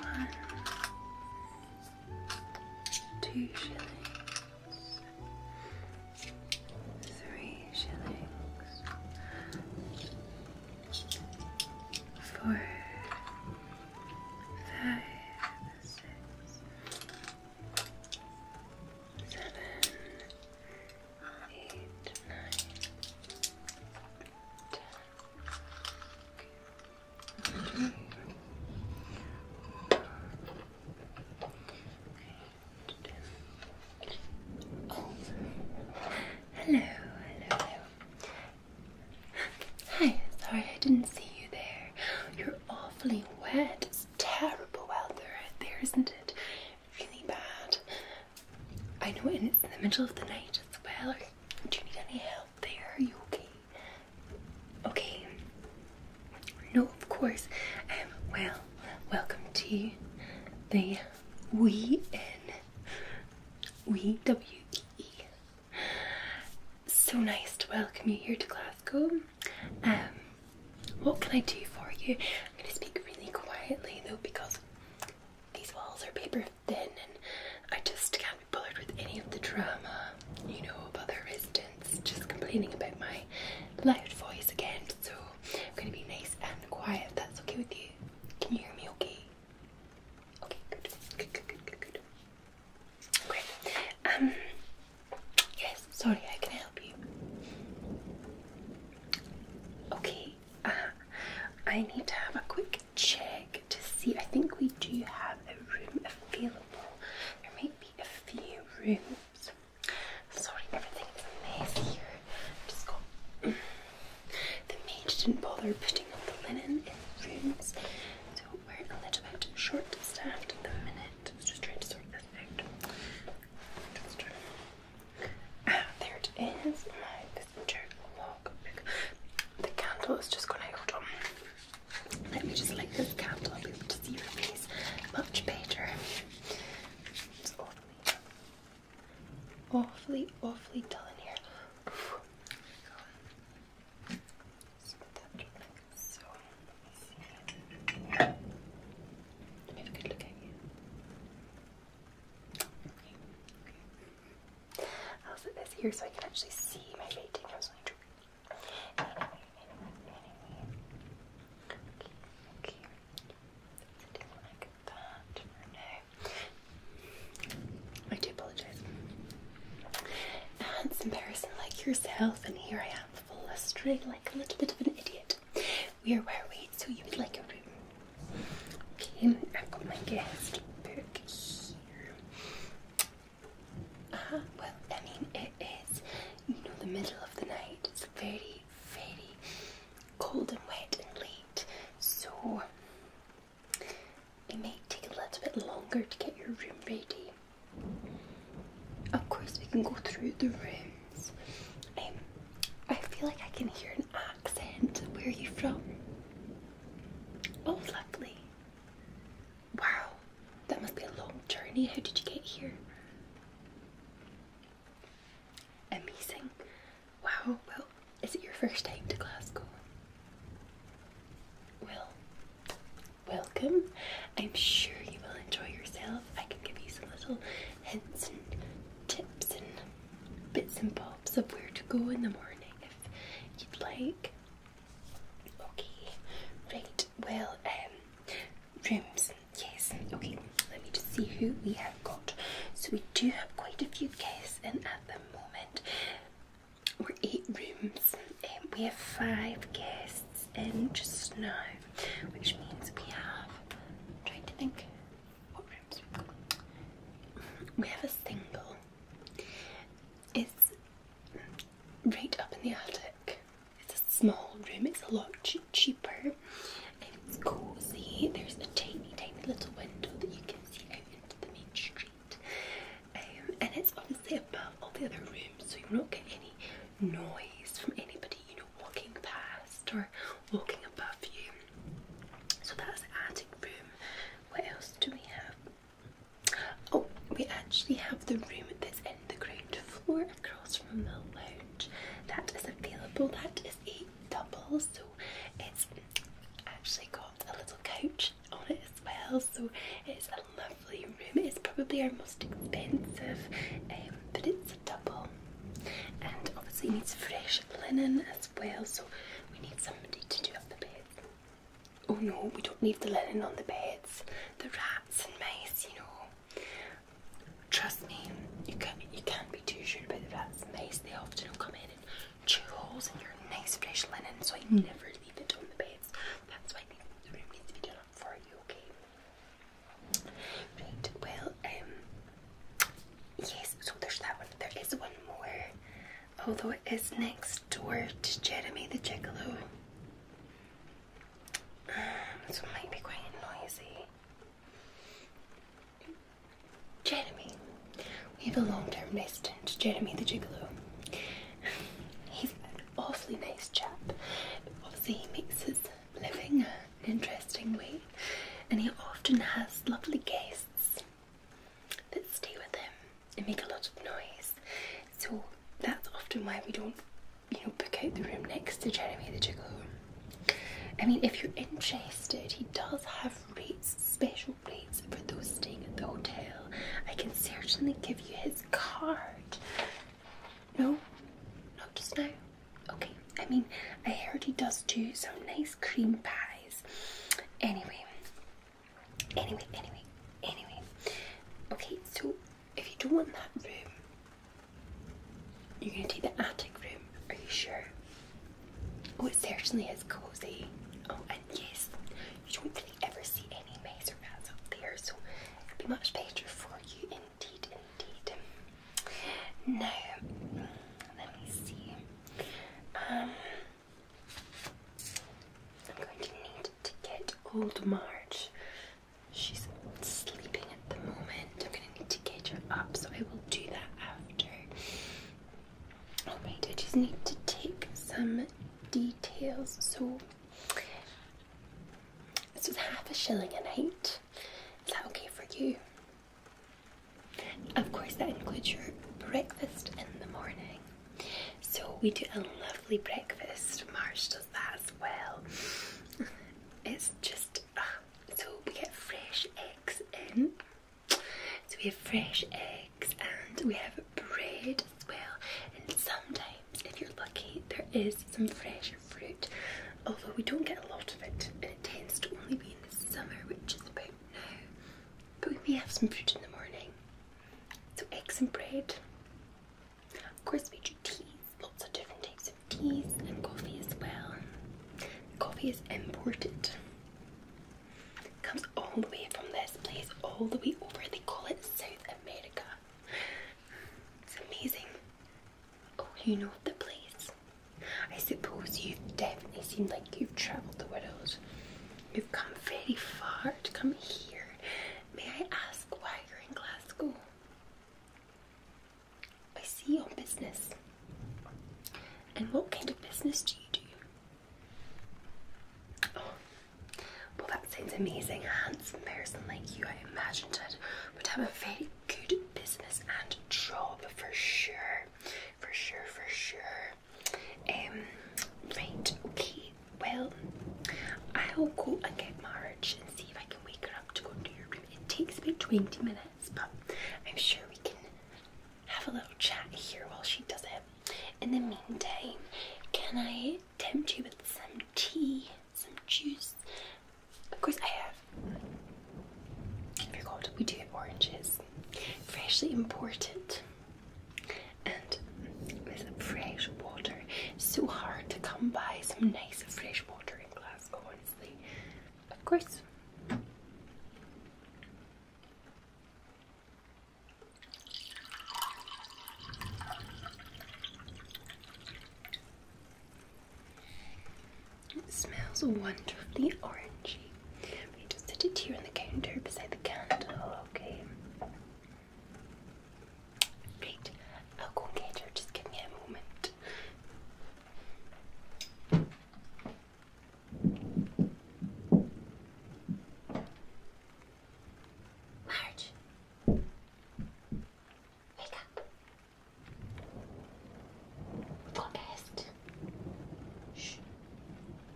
one, two shillings, three shillings, four, five, six, seven, eight, nine, ten. Oh. Hello, Hi, sorry I didn't see you there. You're awfully wet. It's terrible out there, out there isn't it? Really bad. I know, and it's in the middle of the night as well. Do you need any help there? you okay? Okay. No, of course. Um, well, welcome to the We In. We W E E. So nice to welcome you here to Glasgow. Um, what can I do for you? I'm going to speak really quietly though because these walls are paper thin and I just can't be bothered with any of the drama, you know, of other residents just complaining about my loud voice again. So I'm gonna be nice and quiet if that's okay with you. Can you hear me okay? Okay, good, good, good, good, good, good. Great. Um yes, sorry, I can help you. Okay, uh, I need to have a quick check to see. I think we do have a room available. There might be a few rooms. Sorry, everything's a mess here. Just got the maid didn't bother putting up the linen in the rooms, so we're a little bit short-staffed at the minute. Just trying to sort this out. Ah, there it is. The candle is just gonna hold on. Let me just light this candle. I'll be able to see your face much better. awfully, awfully, dull in here. Let me have a good look at you. Okay. I'll sit this here so I can actually see my painting. I was going to anyway, I do apologize. A handsome person like yourself, and here I am, flustering like a little bit of an idiot. We are where we, so you would like a room. Okay, I've got my guest book here. Ah, well, I mean, it is, you know, the middle of the night. It's very, very cold and wet and late, so it may take a little bit longer to get your room ready. Of course, we can go through the rooms. Um, I feel like I can hear accent. Where are you from? Oh, lovely. Wow, that must be a long journey. How did you get here? Amazing. Wow, well, is it your first time to Glasgow? Well, welcome. I'm sure you will enjoy yourself. I can give you some little hints and tips and bits and bobs of where to go in the morning you'd like. Okay, right, well, um, rooms, yes, okay, let me just see who we have got. So we do have quite a few guests in at the moment. We're eight rooms, and um, we have five guests in just now, which means we have, trying to think what rooms We have a single, it's right up in the attic. It's a small room, it's a lot cheaper, and It's cozy. There's a tiny, tiny little window that you can see out into the main street. Um, and it's obviously above all the other rooms, so you will not get any noise from anybody, you know, walking past or walking above you. So that's the attic room. What else do we have? Oh, we actually have the room that's in the ground floor across from the lounge. That is available. That is a double, so it's actually got a little couch on it as well. So it's a lovely room. It's probably our most expensive, um, but it's a double. And obviously needs fresh linen as well. So we need somebody to do up the beds. Oh no, we don't leave the linen on the beds. The rats and mice, you know. Trust me, you can't, you can't be too sure about the rats and mice. They often will come in and chew holes in your nice fresh linen, so I hmm. never leave it on the beds. That's why the room needs to be done up for you, okay? well, um, yes, so there's that one. There is one more although it is next door to Jeremy the Gigolo. Um, so might be quite noisy. Jeremy. We have a long term resident, Jeremy the Gigolo. He's an awfully nice chap. Obviously, he makes his living an interesting way, and he often has lovely guests that stay with them and make a lot of noise. So that's often why we don't, you know, book out the room next to Jeremy the Gigolo. I mean, if you're interested, he does have rates, special rates for those staying at the hotel. I can certainly give you his card. No, not just now. Okay, I mean, I heard he does do some nice cream pies. Anyway, anyway, anyway, anyway. Okay, so if you don't want that room, you're gonna take the attic room. Are you sure? Oh, it certainly is cozy. Oh, and yes, you don't really ever see any mess or up there, so it will be much better for you, indeed, indeed. Now, let me see. Um, I'm going to need to get old Marge. She's sleeping at the moment. I'm going to need to get her up, so I will do that after. Oh, wait! I just need to take some details. So, this was half a shilling a night. Is that okay for you? Of course, that includes your breakfast in the morning. So, we do a lovely breakfast. Marsh does that as well. It's just uh, so we get fresh eggs in. So, we have fresh eggs and we have bread as well. And sometimes, if you're lucky, there is some fresh fruit, although we don't get a lot of it, and it tends to only be in the summer, which is about now. But we may have some fruit in the morning. So eggs and bread. Of course, we do teas, lots of different types of teas and coffee as well. coffee is imported. It comes all the way from this place, all the way over. They call it South America. It's amazing. Oh, you know the place. I suppose you've definitely seemed like you've travelled the world. You've come very far to come here. May I ask why you're in Glasgow? I see your business. And what kind of business do you do? Oh, well, that sounds amazing. A handsome person like you, I imagined it, would have a very good business and job for sure for sure, for sure. Um, right, okay, well, I'll go and get Marge and see if I can wake her up to go to your room. It takes about 20 minutes, but I'm sure we can have a little chat here while she does it. In the meantime, can I tempt you with some tea, some juice? Of course, I have. I oh forgot we do have oranges freshly imported, and with fresh water. so hard to come by some nice fresh water in Glasgow, honestly. Of course. It smells wonderfully orangey. We just set it here on the counter beside the candle, okay? Great. I'll go get her. Just give me a moment. Marge, wake up. Go Shh.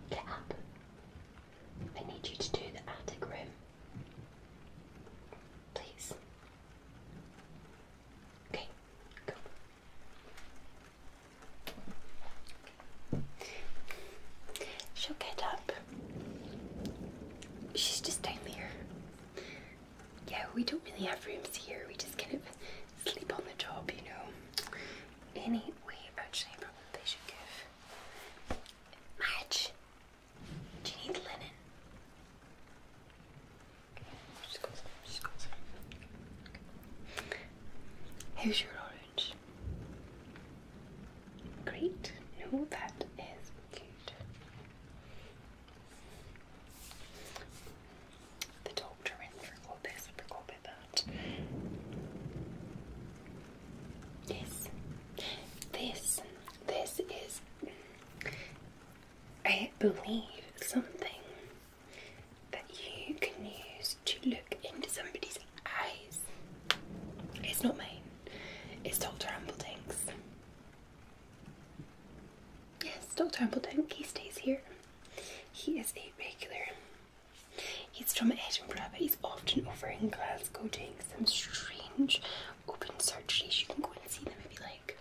Get up. I need you to do the attic room. Please. Okay, go. She'll get up. She's just down there. Yeah, we don't really have rooms here. We just kind of sleep on the top, you know. Anyway, actually, probably should give match. Do you need linen? Okay, just go inside, just Here's your orange. Great. Oh, that is cute. The doctor went for got this, forgot about that. Yes. This, this is, I believe, something that you can use to look into somebody's eyes. It's not mine. It's Dr. Ambledink's. Yes, Dr. Ambledink, he stays here. He is a regular. He's from Edinburgh, but he's often over in Glasgow doing some strange open surgeries. You can go and see them if you like.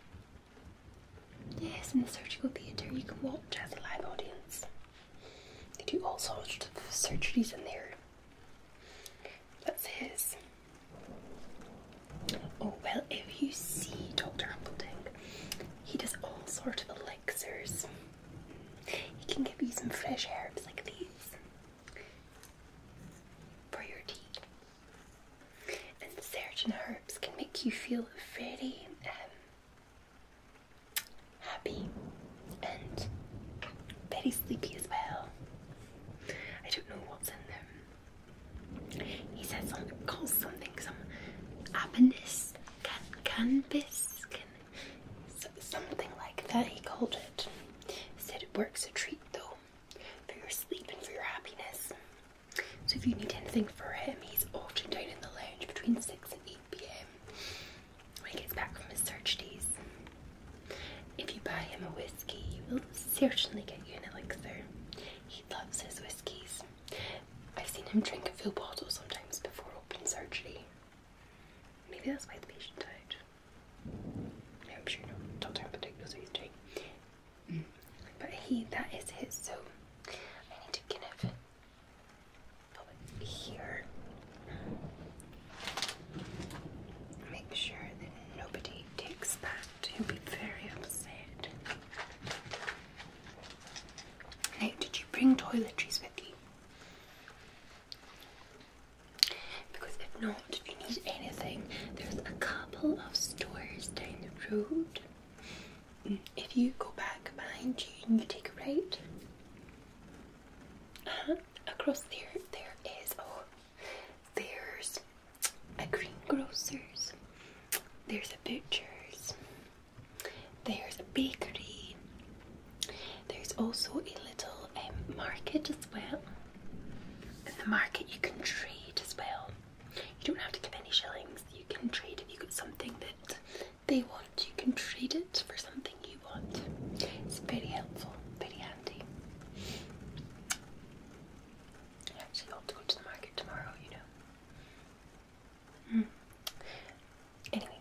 Yes, in the surgical theatre, you can watch as a live audience. They do all sorts of surgeries in there. That's his. Oh well, if you see Dr. Humperdinck, he does all sorts of elixirs. He can give you some fresh herbs like these for your tea. And certain herbs can make you feel very um, happy and very sleepy as well. I don't know what's in them. He says something, called something some apenness can can so, something like that. He called it. said it works a treat though for your sleep and for your happiness. So if you need anything for him, he's often down in the lounge between six and eight p.m. when he gets back from his search days. If you buy him a whiskey, he will certainly get you an elixir. He loves his whiskies. I've seen him drink a full bottle sometimes before open surgery. Maybe that's why the patient died. Yeah, I'm sure no doctor in particular knows what he's mm. But he, that is his, so I need to kind of put it here. Make sure that nobody takes that. He'll be very upset did you bring toiletries with you? Because if not, if you need anything, there's a couple of stores down the road. Mm, if you go back behind you and you take a right, uh-huh, across there, there is, oh, there's a greengrocer's, there's a butcher's, there's a bakery. There's also a little um, market as well. In the market, you can trade as well. You don't have to give any shillings. You can trade if you got something that they want. You can trade it for something you want. It's very helpful, very handy. I actually to go to the market tomorrow, you know. Mm. Anyway,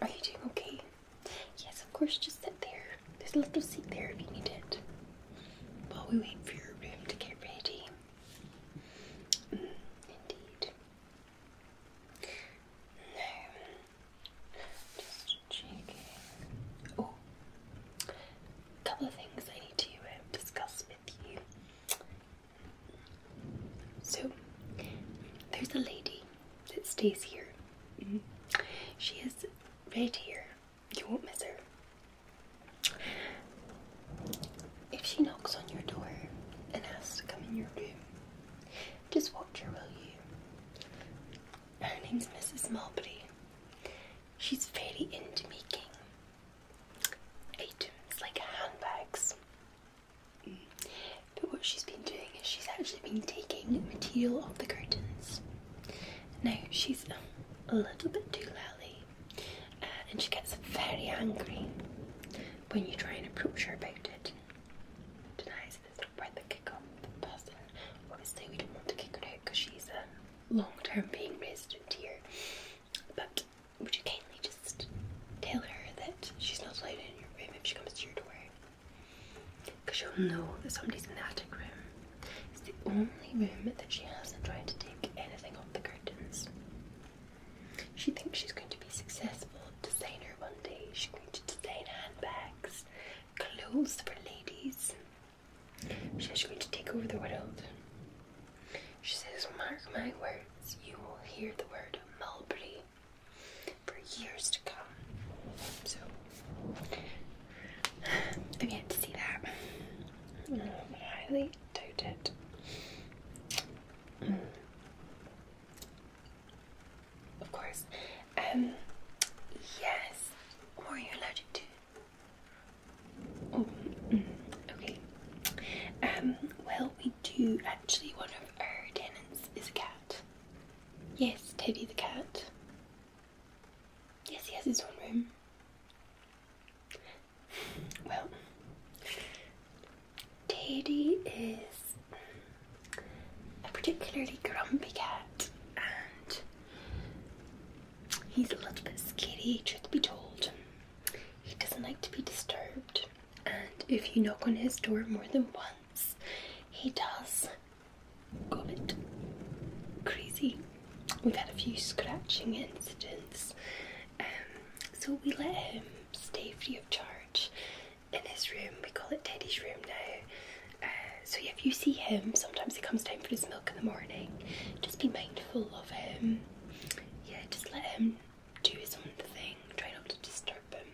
are you doing okay? Yes, of course, just sit there. There's a little seat there if you need it. While we wait for your room to get ready. Hmm, indeed. Now, just checking. Oh, a couple of things I need to uh, discuss so, there's a lady that stays here. Mm-hmm. She is right here. You won't miss her. If she knocks on your door and asks to come in your room, just watch her, will you? Her name's Mrs. Mulberry. She's very into making items like handbags. But what she's been doing is she's actually been taking material off the curtains. Now she's a little bit too lally uh, and she gets very angry when you try and approach her about it. Denies that it's not worth kick off the person. Obviously, we don't want to kick her out because she's a um, long term paying resident here. But would you kindly just tell her that she's not allowed in your room if she comes to your door? Because she'll know that somebody's in the room. It's the only room that she hasn't tried to take anything off the curtains. She thinks she's going to be successful designer one day. She's going to design handbags, clothes for ladies. She's going to take over the world. She says, Mark my words, you will hear the word mulberry for years to come. So, I've yet to see that. Um, highly doubt it. Mm. Of course. Um, yes. What are you allergic to? Oh, mm, okay. Um, well, we do actually, one of our tenants is a cat. Yes, Teddy the cat. Yes, he has his own room. Well, Teddy is a particularly grumpy cat and he's a little bit scary, truth be told. He doesn't like to be disturbed, and if you knock on his door more than once, he does go a bit crazy. We've had a few scratching incidents, um, so we let him stay free of charge in his room. We call it Teddy's room now. Uh, so if you see him, sometimes he comes down for his milk in the morning. Just be mindful of him. Yeah, just let him do his own thing, try not to disturb him.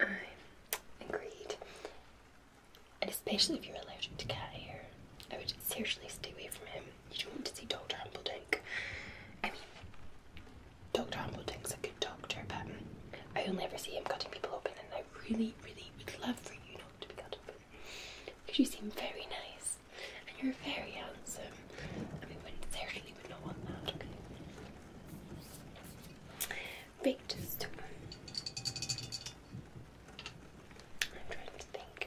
I agreed. And especially if you're allergic to cat hair, I would seriously stay away from him. You don't want to see Dr. Humbledink. I mean, Dr. Humbledink's a good doctor, but I only ever see him cutting people open, and I really, really would love for you not to be cut open. Because you seem very nice. And you're very handsome. And we certainly would not want that, okay? Right, I'm trying to think.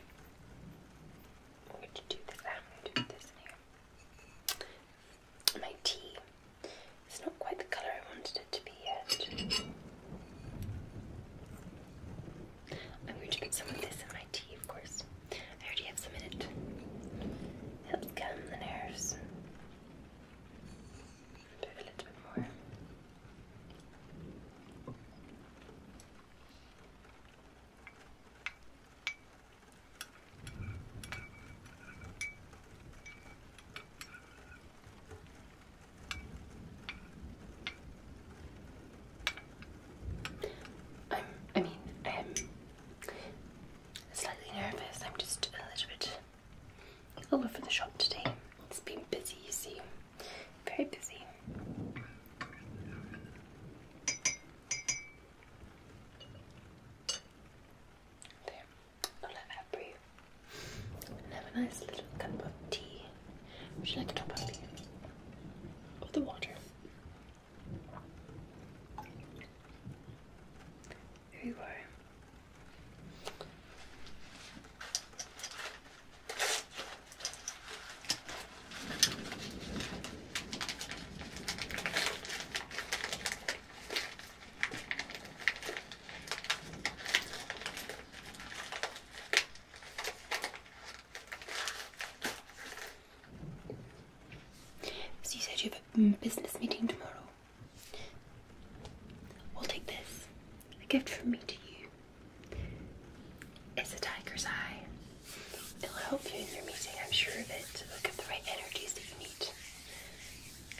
I'm going to do this I'm going to do this here. My tea. It's not quite the colour I wanted it to be yet. I'm going to put some of this in my tea, of course. I already have some in it. Help calm the nerves. Do a little bit more. I'm, I mean, i slightly nervous. I'm just a little bit all over the shop today. It's been busy, you see. Very busy. There, I'll let that breathe. have a nice little cup of tea. Would you like a top up? Or the water? There you are. So you said you have a mm, business meeting tomorrow. i will take this. A gift from me to you. It's a tiger's eye. It'll help you in your meeting, I'm sure of it. It'll give the right energies that you need.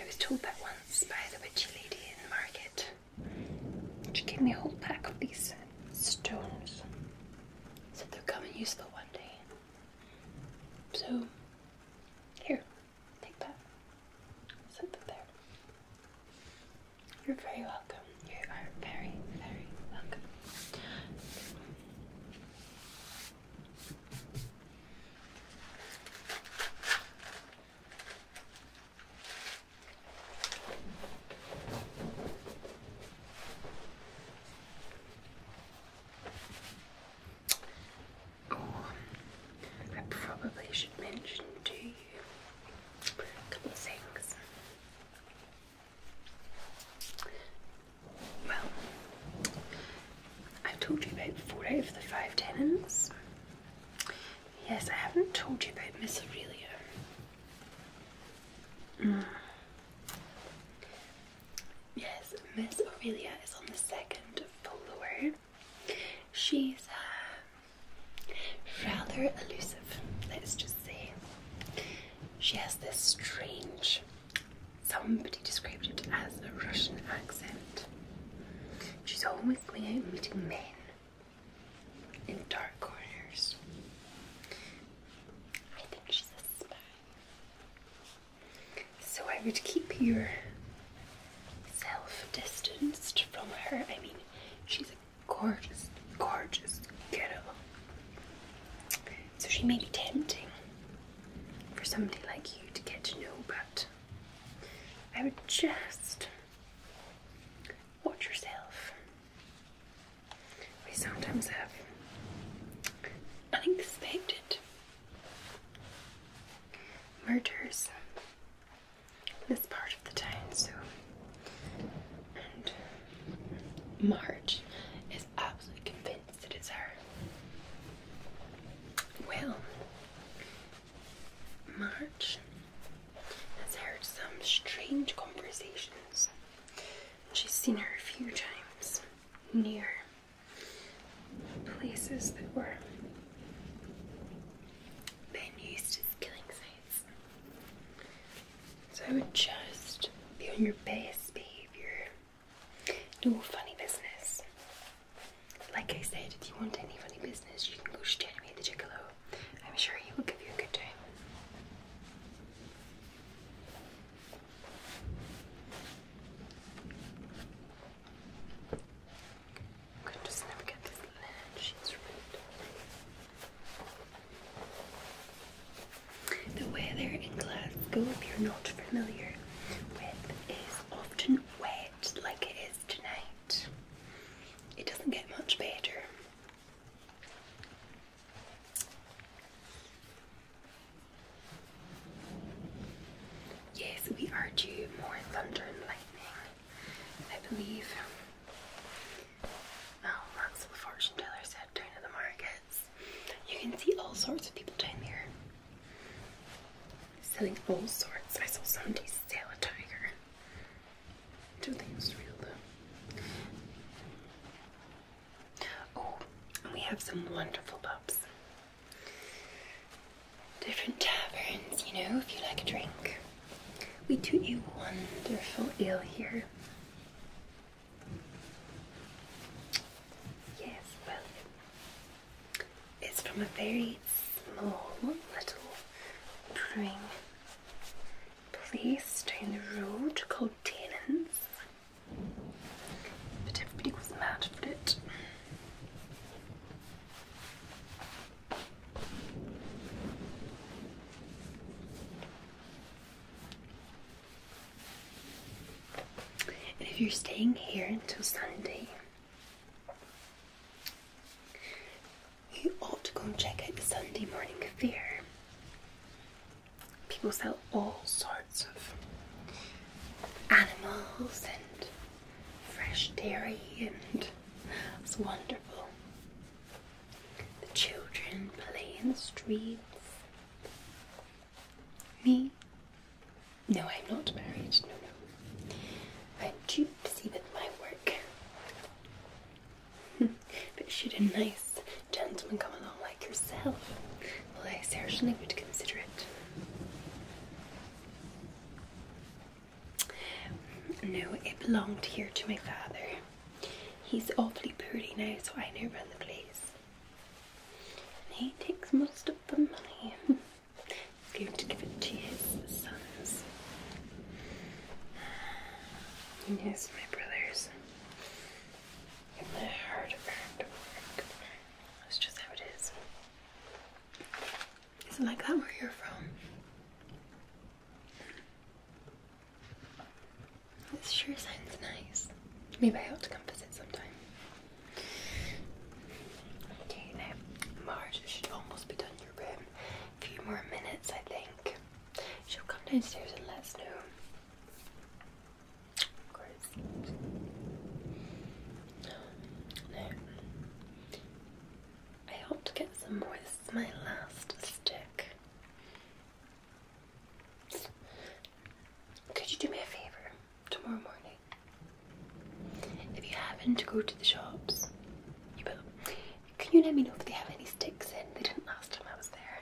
I was told that once by the witchy lady in the market. She gave me a whole pack of these stones. So they'll come in useful one day. So, here, take that. Set that there. You're very welcome. You are very, very welcome. I probably should mention to you a couple of things. Well, I've told you about four out of the five tenants. Yes, I haven't told you about Miss Aurelia. Mm. Yes, Miss Aurelia is on the second floor. She's uh, rather elusive, let's just say. She has this strange, somebody described it as a Russian accent. She's always going out meeting men in dark corners. I think she's a spy. So I would keep self distanced from her. I mean, she's a gorgeous, gorgeous kiddo. So she may be tempting for somebody like you to get to know, but I would just watch yourself. We sometimes have unexpected murders this part of the town, so and Marge is absolutely convinced it is her. Well, March has heard some strange conversations. She's seen her a few times near places that were been used as killing sites. So I would just be on your best behavior. No funny business. Like I said, if you want any funny business, you can go me away to Gigolo. I'm sure he will give you a good time. I'm going get this linen sheets right. The weather in Glasgow, if you're not familiar with, is often wet like it is tonight. It doesn't get much better. Yes, we are due more thunder and lightning, I believe. Oh, that's what the fortune teller said down at the markets. You can see all sorts of people down there selling all sorts. I saw somebody sell a tiger. Two things real though. Oh, and we have some wonderful pubs. Different taverns, you know, if you like a drink. We do a wonderful ale here. Yes, well, it's from a very small little brewing Please stay in the road called Tannins, but everybody was mad for it. if you're staying here until Sunday, you ought to go and check out the Sunday morning fair. People sell all sorts of animals and fresh dairy, and it's wonderful. The children play in the streets. Me? No, I'm not married. No, no. I'm too busy with my work but should a nice gentleman come along like yourself, well, I certainly would consider it. No, it belonged here to my father. He's awfully pretty now, so I know run the place. And he takes most of the money. He's going to give it to his sons. And here's my brother's. And my hard earned work. That's just how it is. Is it like that where you're from? This sure sounds nice. Maybe I ought to come visit sometime. Okay, now Marge should almost be done your room. A few more minutes, I think. She'll come downstairs and let us know. Of course. I ought to get some more. This is my last stick. Could you do me a favour tomorrow morning? If you happen to go to the shops, you will. Can you let me know if they have any sticks in? They didn't last time I was there.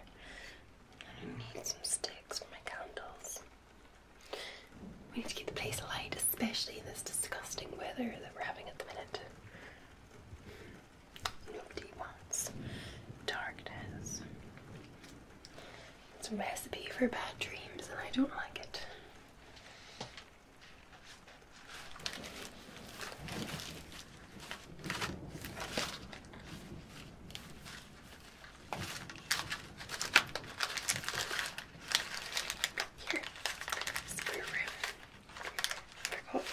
I need some sticks for my candles. We need to keep the place light, especially in this disgusting weather that we're having at the minute. Nobody wants darkness. It's a recipe for bad dreams, and I don't like it. Here, spare room for coat.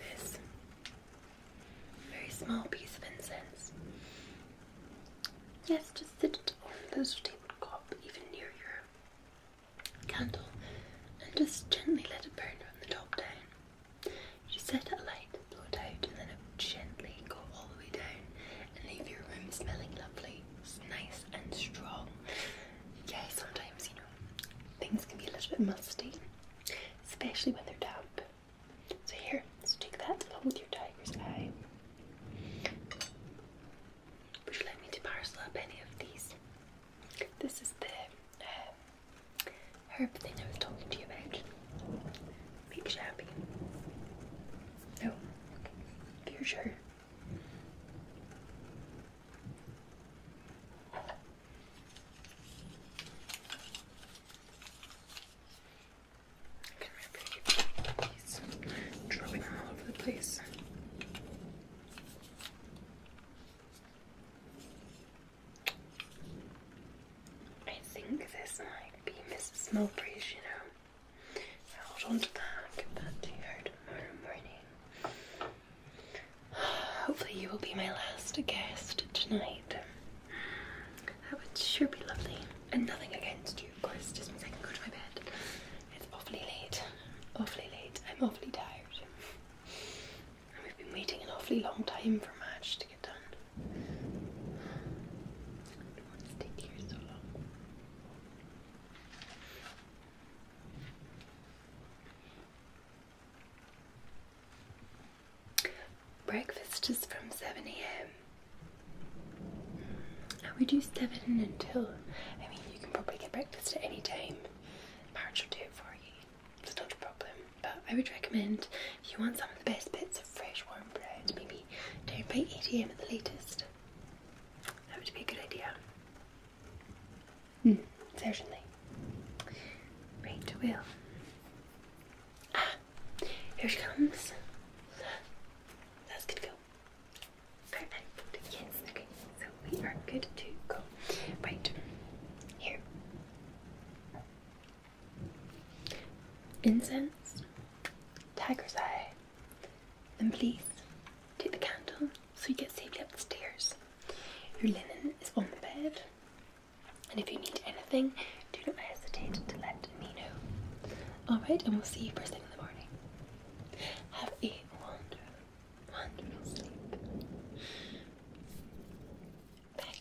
This very small piece of incense. Yes, just sit it on the table top, even near your candle, and just gently let it burn from the top down. Just set it alight, blow it out, and then it will gently go all the way down and leave your room smelling lovely really nice and strong. Yeah, sometimes, you know, things can be a little bit musty, especially when they're damp. So here, so take that along with your tiger's eye. Would you like me to parcel up any of these? This is the uh, herb thing I was talking to you about. Make you happy. No, okay. if you're I can remember these drawing all over the place. I think this might be Mrs. Mowbray's, you know hold on to that, give that to you tomorrow morning. Hopefully, you will be my last guest tonight. That would sure be lovely. And nothing against you, of course, just means I can go to my bed. It's awfully late. Awfully late. I'm awfully tired. And we've been waiting an awfully long time for Match to get done. Breakfast is from 7 a.m. We do 7 until, I mean, you can probably get breakfast at any time. March will do it for you, it's not a problem. But I would recommend if you want some of the best bits of fresh warm bread, maybe down by 8 a.m. at the latest. That would be a good idea. Mm, certainly. Right, well. Ah, here she comes. That's good to go. Perfect. Yes, okay. So we are good to go. Right, here. Incense, tiger's eye, then please take the candle so you get safely up the stairs. Your linen is on the bed, and if you need anything, do not hesitate to let me know. Alright, and we'll see you first thing in the morning. Have a wonderful, wonderful sleep. Bye.